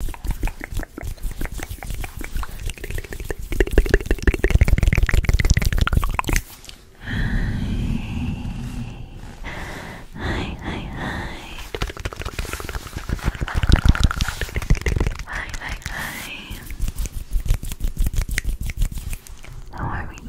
Hi, hi, hi. Hi, hi, hi. How are we?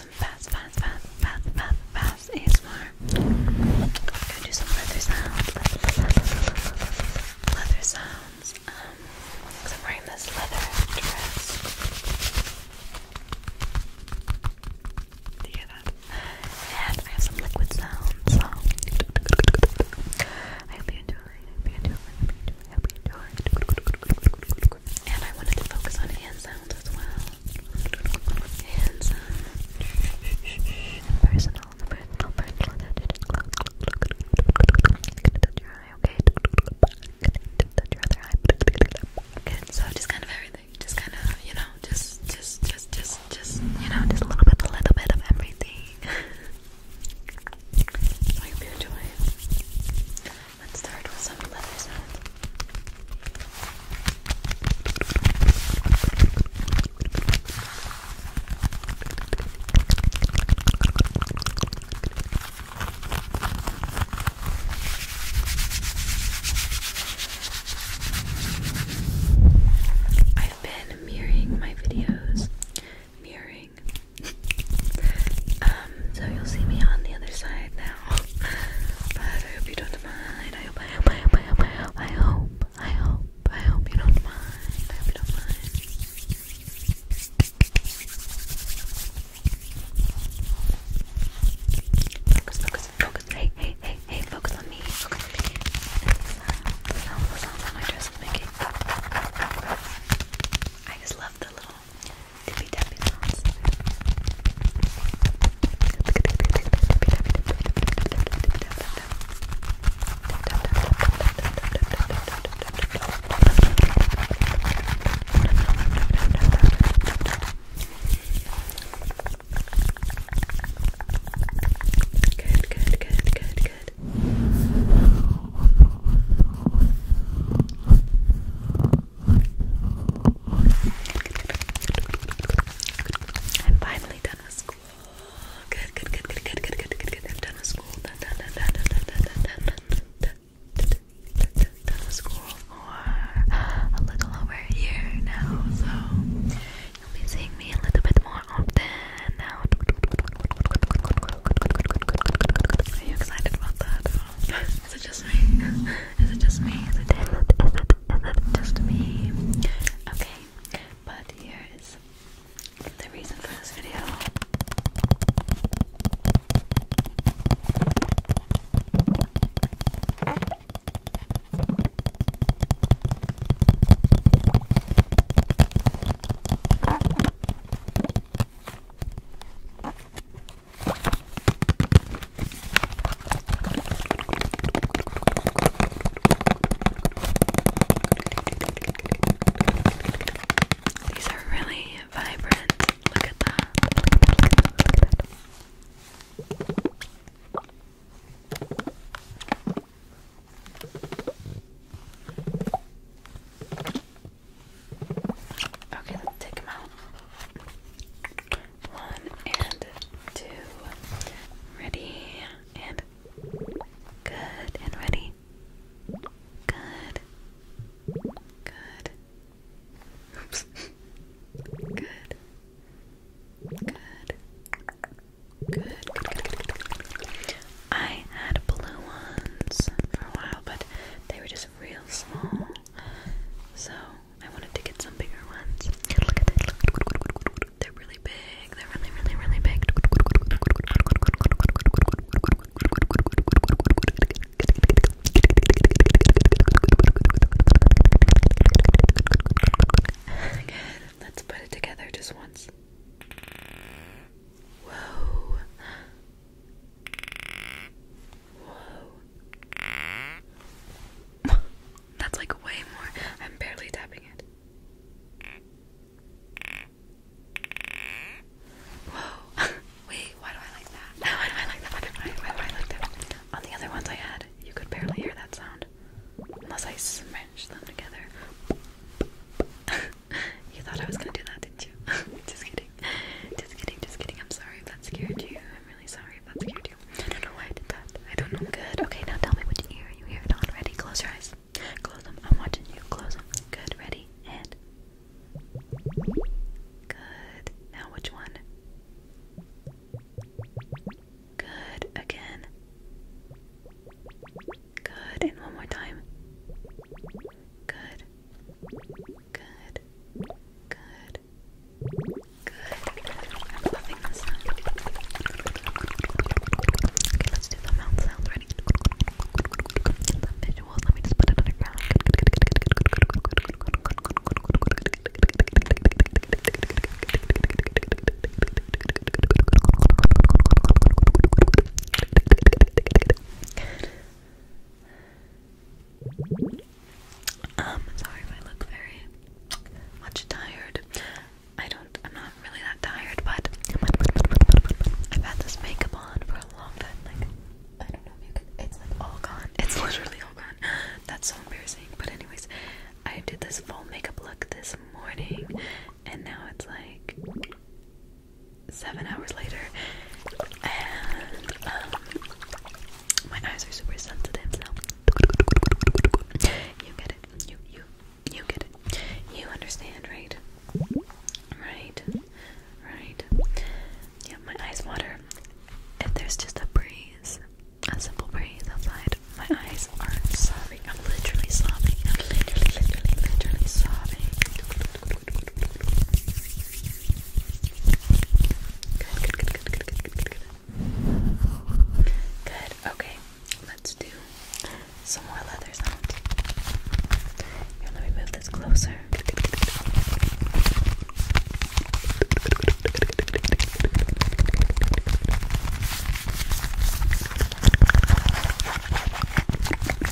get some fast, fast, fast, fast, fast, fast ASMR. I'm gonna do some leather sounds. Leather sounds. Um, because I'm wearing this leather dress. Do you hear that? And I have some liquid sounds. So. I hope you enjoy. I hope you enjoy. I hope And I wanted to focus on hand sounds as well. Hand Personal, personal, personal. touch your eye, okay? touch your other eye. So just kind of everything. Just kind of, you know, just, just, just, just, just, you know, just a little bit, a little bit of everything. hope you enjoy. Let's start with some leather sounds. I've been mirroring my videos, mirroring, um, so you'll see me on the other side now. but I hope you don't mind. I hope, I hope, I hope, you don't mind. I hope you don't mind. Focus, focus, focus. Hey, hey, hey, hey, focus on me. Focus I just love the little Tippy tappy sounds. Good, good, good, good, good. I'm finally done with school. Good, good, good, good, good, good, good, good, good. done with school. done, done, done, done, done, done, done, done, done, done, done with school for a little over a year now, so you'll be seeing me a little bit more often now. Are you excited about that? Is it just me? Is it just me? Is it just me? Okay, but here is the reason for this video. These are really vibrant. Look at that. Okay, let's take them out. One and two. Ready and good and ready. Good. Good. Good. Good. Good. I had blue ones for a while, but they were just real small. So I wanted to get some bigger ones. Look at this. They're really big. They're really, really, really big. Let's put it together just once. Whoa. Whoa. That's like way more. I'm barely tapping it. Whoa. Wait, why do I like that? Why do I like that? Why do I, like that? On the other ones I had, you could barely hear that sound. Unless I smushed them together. you thought I was gonna do that, didn't you? just kidding. Just kidding, just kidding. I'm sorry if that scared you. I'm really sorry if that scared you. I don't know why I did that. I don't know. Good. Okay, now tell me which ear you hear it on. Ready? Close your eyes. Close them. I'm watching you. Close them. Good. Ready? And. Good. Now which one? Good. Again. Good. And one more time. Good. Good. Good. Good. Okay, let's do the mouth sound. Ready? The me just put it on the ground um, sorry I look very much tired. I don't, I'm not really that tired, but I've had this makeup on for a long time. Like, I don't know if you can, it's like all gone. It's literally all gone. That's so embarrassing. But, anyways, I did this full makeup look this morning, and now it's like seven hours later, and um, my eyes are super sensitive, so you get it, you you you get it, you understand, right? Right, right. Yeah, my eyes water. If there's just a breeze, a simple breeze outside, my eyes are sobbing. I'm literally sobbing. I'm literally, literally, literally sobbing. Good, good, good, good, good, good, good, good. Good, okay. Let's do some more leather sounds. Here, let me move this closer. Good, good, good, good.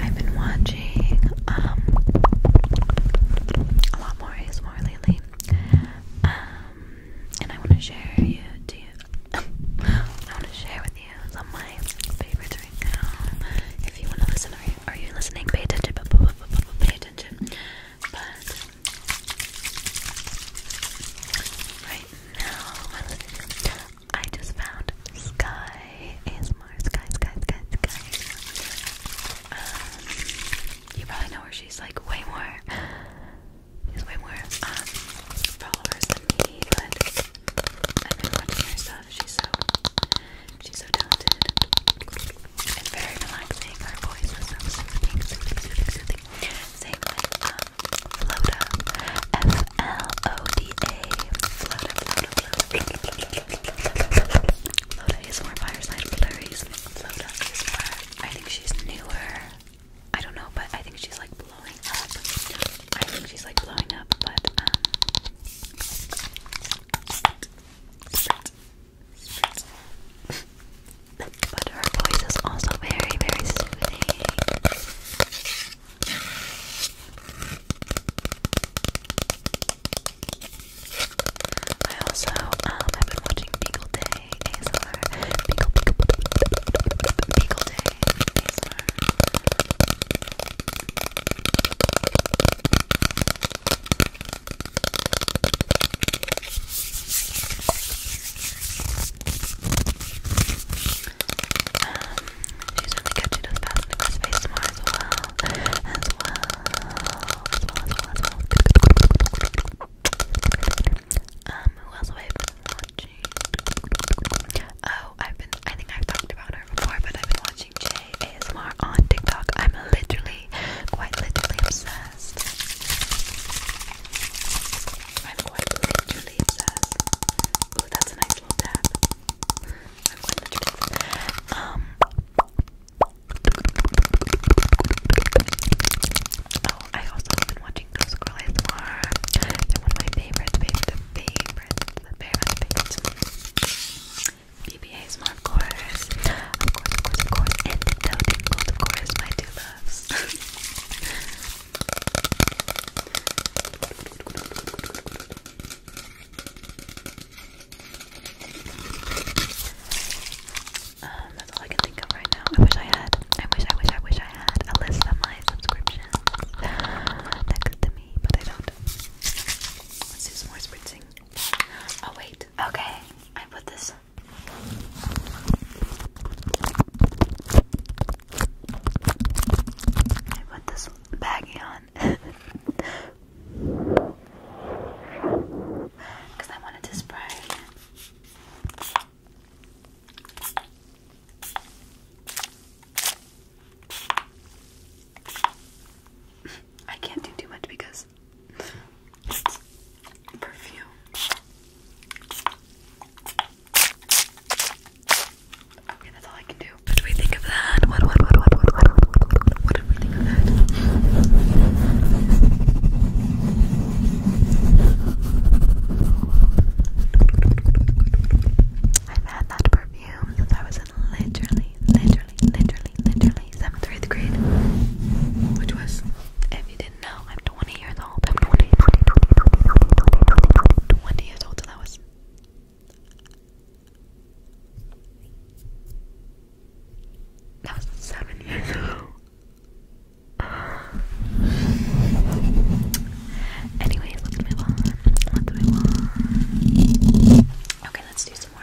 I've been watching um, a lot more ASMR lately. Um, and I want to share with you some of my favorites right now. If you want to listen, are you, listening? Pay attention. But right now, I just found Sky ASMR. Sky, Sky, Sky, Sky. Um, you probably know where She's like way more. She's way more um, followers than me, but I've been watching her stuff. She's so She's so talented and very relaxing. Her voice is so soothing, soothing, soothing, soothing. Same like um, Floda, F L O D A. Floda, is more fireside flurries. Floda is more. I think she's newer. I don't know, but I think she's like blowing up. I think she's like blowing up, but um, but her voice is also very, very soothing. I also, um, have been watching Beagle Day ASMR. Beagle, Beagle, Beagle Day ASMR. Um, she's really good. She fast Um, who else have watching? Oh, I've been, I think I've talked about her before, but I've been watching Jade. ASMR on TikTok. I'm literally, quite literally obsessed. I'm quite literally obsessed. Ooh, that's a nice little tap. I'm quite literally obsessed. Oh, I also been watching Ghost Girl ASMR. They're one of my favorites, favorites, favorites, the favorites. BBA Smart, of course. Of course, of course, of course. And the Toad of course, my two loves. um, that's all I can think of right now. I wish I had, I wish, I wish, I wish I had a list of my subscriptions next to me, but I don't. Let's do some more spritzing. Oh wait. Okay. I put this. I put this baggie on. Because I wanted to spray. I can't do too much because perfume. Okay, that's all I can do. What do we think of that? What what what what what what what, what do we think of that? I've had that perfume since I was in literally, literally literally, literally, seventh eighth grade, which was, if you didn't know, I'm 20 years old. I'm 20, 20, 20, 20, 20 years old, that was. That was seven years ago. Anyways, let's move on. Let's move on. Okay let's do some more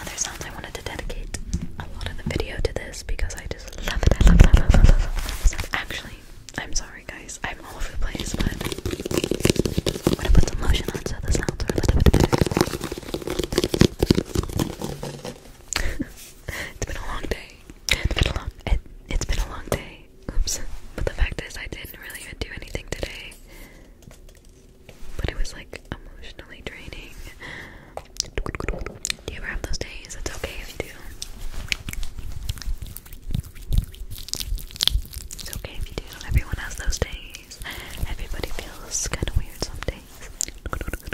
other sounds. I wanted to dedicate a lot of the video to this because I just love it. I love, that. love, love, love, love. Actually, I'm sorry guys, I'm all over the place, but I'm gonna put some lotion on so the sounds are a little bit better. it's been a long day. It's been a long. It, it's been a long day. Oops. But the fact is, I didn't really do anything today but it was like emotionally draining. Do you ever have those days? It's okay if you do. It's okay if you do. Everyone has those days. Everybody feels kind of weird some days. Everybody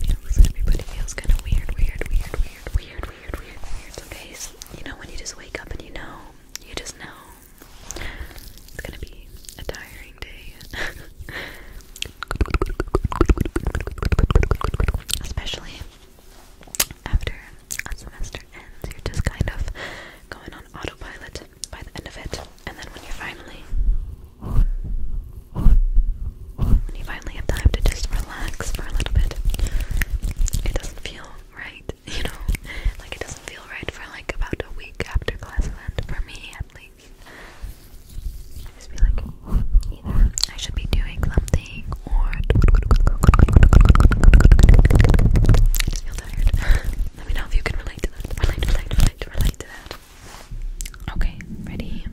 feels. Everybody feels kind of weird, weird, weird, weird, weird, weird, weird, weird days. You know when you just wake up and you know, you just know it's gonna be a tiring day. Especially after a semester ends, you're just kind of going on autopilot by the end of it. And then when you finally when you finally have time to just relax for a little bit, it doesn't feel right, you know? Like, it doesn't feel right for like about a week after class event, for me at least. I just feel like either I should be doing something or I just feel tired. Let me know if you can relate to that. Relate, relate, relate, relate to that. Okay, ready?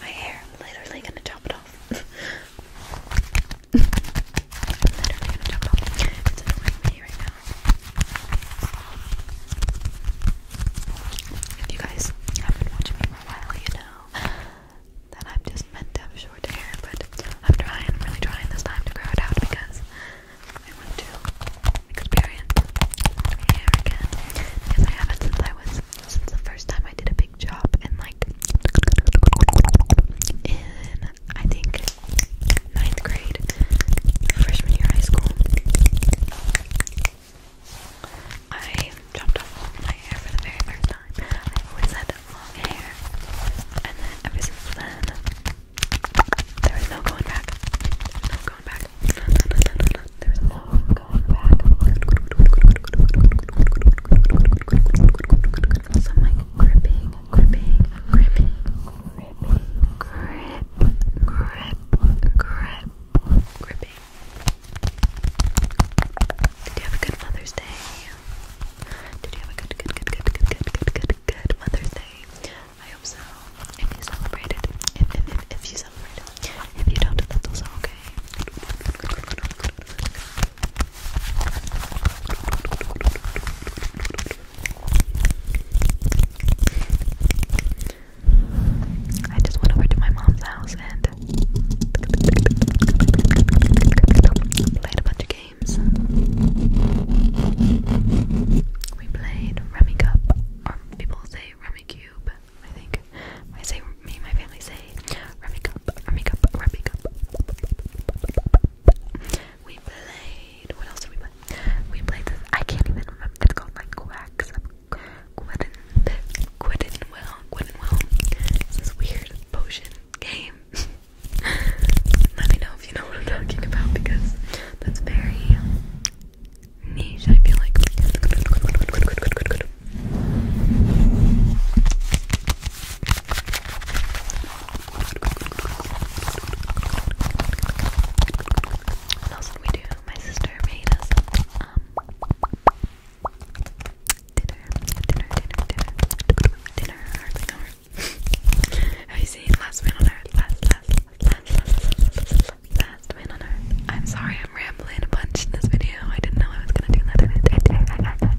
My hair, I'm literally gonna chop it off. you guys have been watching me for a while, you know that I'm just meant to have short hair, but I'm trying, I'm really trying this time to grow it out because I want to experience hair again. Because I haven't since I was since the first time I did a big job in like in I think ninth grade, freshman year high school. I chopped off my hair for the very first time. I always had long hair, and then ever since then, there no going back. No going back. There was no going back. I'm like gripping, gripping, gripping, gripping, grip, grip, grip, gripping, did you have a good Mother's Day? Did you have a good, good, good, good, good, good, good, good, Mother's Day? I hope so. If you celebrated, if, if, if, you celebrated, if you don't, that's okay. I just went over to my mom's house and played a bunch of games. We played Rummy Cup, people say Rummy Cube, I think. I say, me my family say Rummy Cup, Rummy Cup, Rummy Cup. We played, what else did we play? We played this, I can't even remember, it's called like Quacks, Gwydon, Gwydonwell, Gwydonwell. It's this weird potion game. Let me know if you know what I'm talking about because that's very niche. I feel like. What else did we do? My sister made us um, Dinner, dinner, dinner, dinner, dinner, hardly Have you seen Last Man on Earth? Last, last, last, last, last Man on Earth. I'm sorry, I'm rambling a bunch in this video. I didn't know I was gonna do that.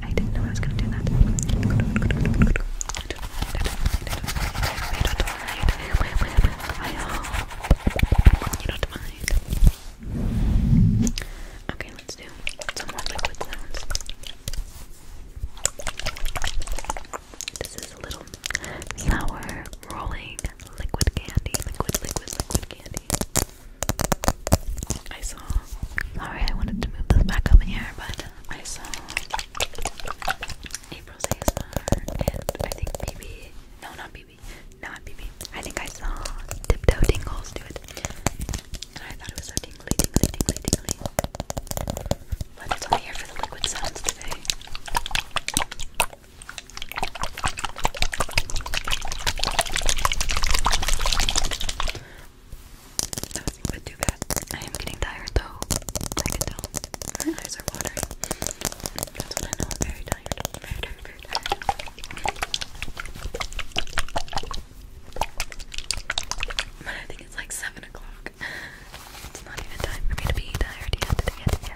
I, didn't know I was gonna do that. Okay, let's do some more liquid sounds. This is a little sour rolling liquid candy. Liquid, liquid, liquid candy. I saw. Sorry, I wanted to move this back up in here, but I saw April's ASMR and I think BB. No, not not BB. I think I saw Tiptoe Tingles do it, and I thought it was so tingly, tingly, tingly, tingly. But it's only here for the liquid sounds today. That was a bit too bad. I am getting tired though. I can tell. My eyes are watering. That's when I'm very tired. Very tired, but I think it's like 7 o'clock. It's not even time for me to be tired yet. yet.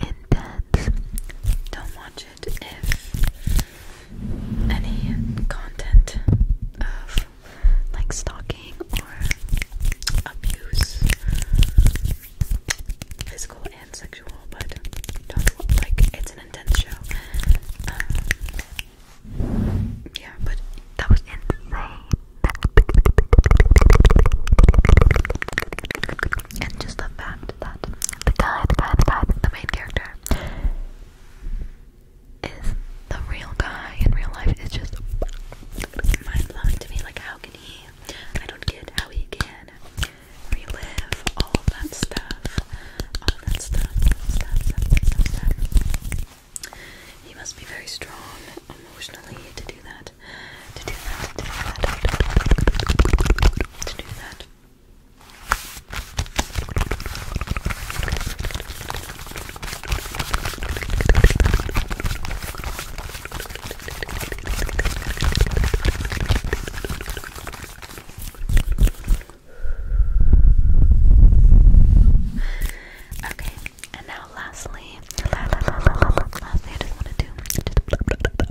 intense. Don't watch it if any content of like stalking or abuse, physical and sexual, but don't like it's an intense show. Um, yeah, but that was insane. And just the fact that the guy, the guy, the guy, the main character is the real guy in real life is just mind blowing to me. Like, how can he? I don't get how he can relive all of that stuff. All that Stuff, stuff, stuff, stuff. He must be very strong emotionally to do that to do that, to do that, to do that. Okay, and now lastly, lastly I just want to do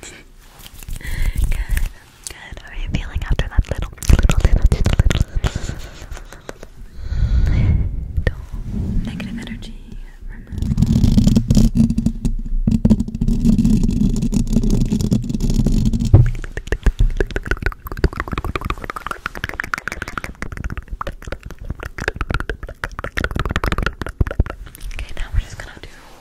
good, good. How are you feeling after that little, little, little, little, little, little negative energy removal? Okay, now we're just gonna do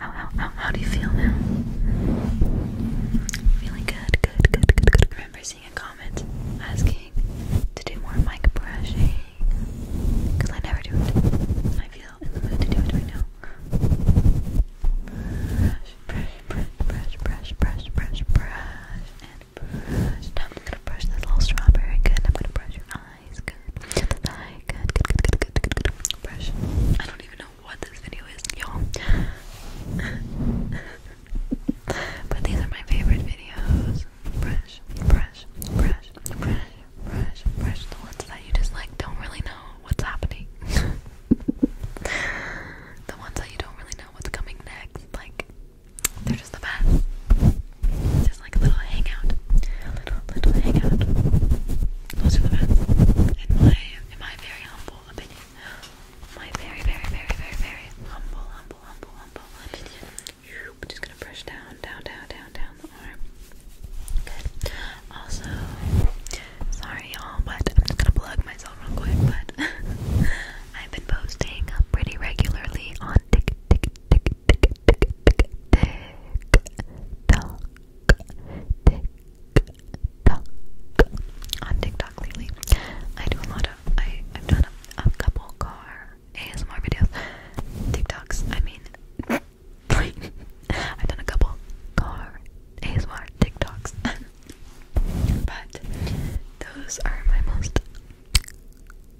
How, how, how, do you feel now? Feeling good, good, good, good, good. Remember seeing a comment asking to do more mic brushing? Because I never do it. I feel in the to do it right now. Brush, brush, brush, brush, brush, brush, brush, brush, I'm gonna brush this little strawberry. Good. I'm gonna brush your eyes. Good. Under Good. Good. Good. Good. Good. Good. Brush. I don't even know what this video is, y'all. but these are my favorite videos. Brush. Brush. Brush. Brush. Brush. Brush. The ones that you just like don't really know what's happening. the ones that you don't really know what's coming next. Like they're just the best. Just like a little hangout. little hangout. Those are the In my in my very humble opinion. My very, very, very, very, very humble, humble, humble, humble opinion. Just gonna brush down, down, down, down, down the arm. Good. Also, sorry y'all, but I'm just gonna plug myself real quick, but I've been posting pretty regularly on tick tick tick on TikTok lately. I do a lot of I, I've done a, a couple car ASMR videos. TikToks, I mean I've done a couple car ASMR TikToks. but those are my most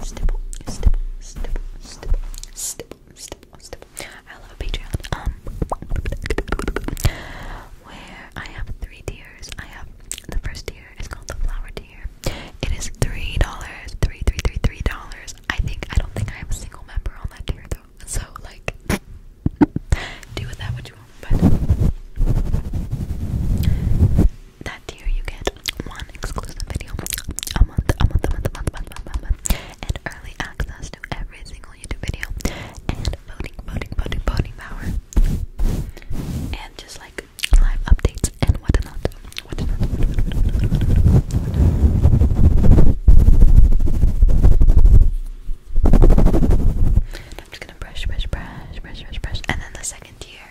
stipple, stipple, stipple, stipple, stipple, stipple, I love Patreon. Um, where I have three tiers. I have the first tier is called the flower tier. It is three dollars, three, three, three, three dollars. I think I don't think I have a single member on that tier though. So like, do with that what you want. But that tier you get one exclusive video a month, a month, a month, a month, a month, a month, and early access to every single YouTube video, and voting, voting, voting, voting power, and just like live updates and whatnot, whatnot. I'm just gonna brush, brush, brush, brush, brush, brush, and then the second tier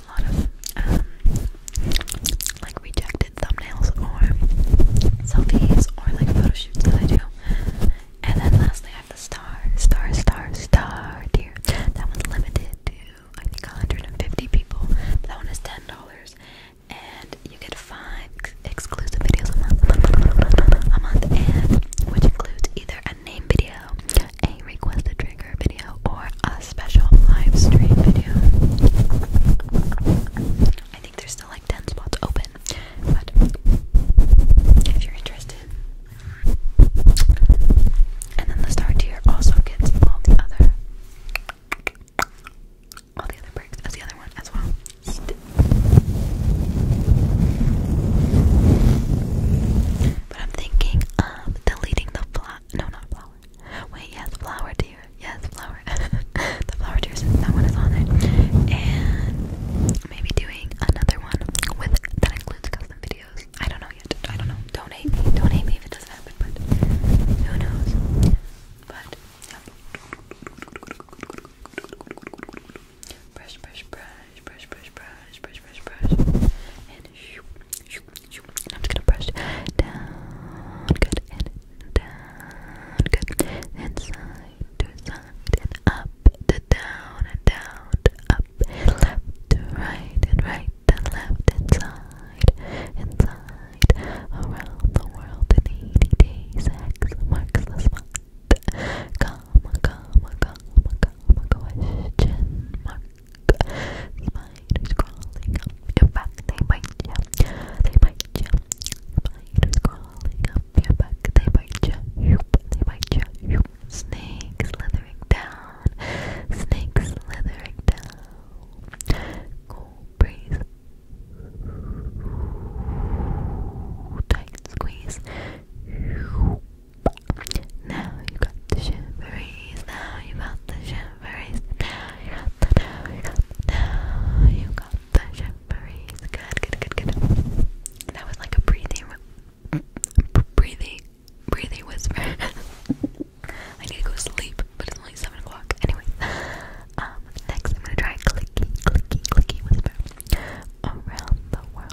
a lot of um, like rejected thumbnails or selfies or like photo shoots that I do. And then lastly, I have the star, star, star, star tier. That one's limited to I think 150 people. That one is ten dollars, and you get five ex exclusive videos a month, a month, and which includes either a name video, a requested trigger video or a special live stream video. I think there's still like 10 spots open, but if you're interested. And then the star tier also gets all the other all the other perks as the other one as well. But I'm thinking of deleting the fly. No, not fly. Wait, yes, flower deer. Yes, flower. the flower tears. that one is on it. And maybe doing another one with that includes custom videos. I don't know yet. I don't know. do me. do me if it does happen, but who knows? But Brush, brush, brush, brush, brush, brush, brush, brush, brush. And shoop. I'm just gonna brush down, good, and down, good, and side to side, and up to down, and down up, and left to right, and right to left, and side, and around the world in 80 days, X the spot, comma, comma, comma, comma, question mark. Spiders crawling up your back, they bite you. They bite you. Spiders crawling up your back, they bite you. They bite Snake slithering down. Snake slithering down. Cool breeze. Tight squeeze. Now you got the shiveries. Now you got the shiveries. Now you got now you got now you got the shiveries. Good, good, good, good. That was like a breathing, breathing, breathing whisper. I need to go sleep, but it's only 7 o'clock. Anyway, um, next I'm gonna try clicky, clicky, clicky whisper. Around the world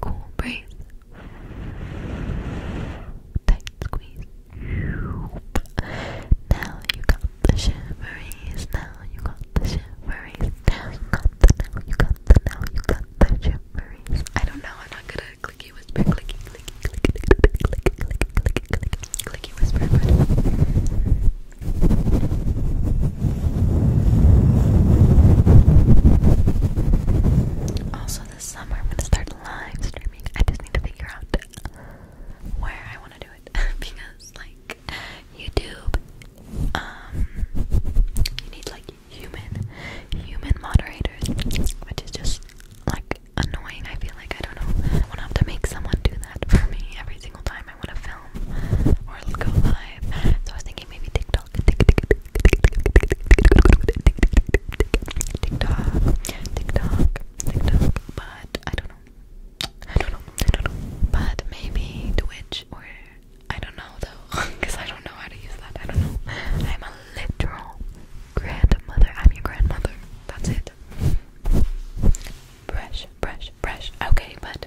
Cool breeze. Tight squeeze. Now you got the shiveries. Now you got the shiveries. Now you got the now you got the now you got the shiveries. I don't know. I'm not gonna clicky whisper. Clicky clicky clicky clicky clicky clicky clicky clicky clicky whisper. Also, this summer I'm gonna start live streaming. I just need to figure out where I want to do it because, like, YouTube, um, you need like human, human moderators, which is just like annoying. I feel like I don't know. I want to have to make someone do that for me every single time I want to film or go live. So I was thinking maybe TikTok but I don't know. I don't know. I don't know. But maybe Twitch or I don't know though, because I don't know how to use that. I don't know. I'm a literal grandmother. I'm your grandmother. That's it. Brush, brush, brush. Okay, but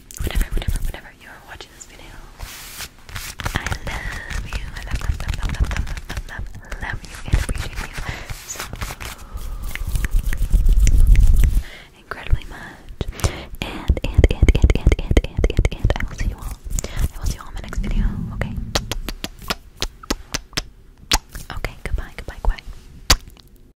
whatever, whatever, whatever, you are watching this video. I love you. I love, love, love, love, love, love, love, you incredibly much. And and and and and and and and I will see you all. I will see you all in my next video. Okay. Okay. Goodbye. Goodbye. Goodbye.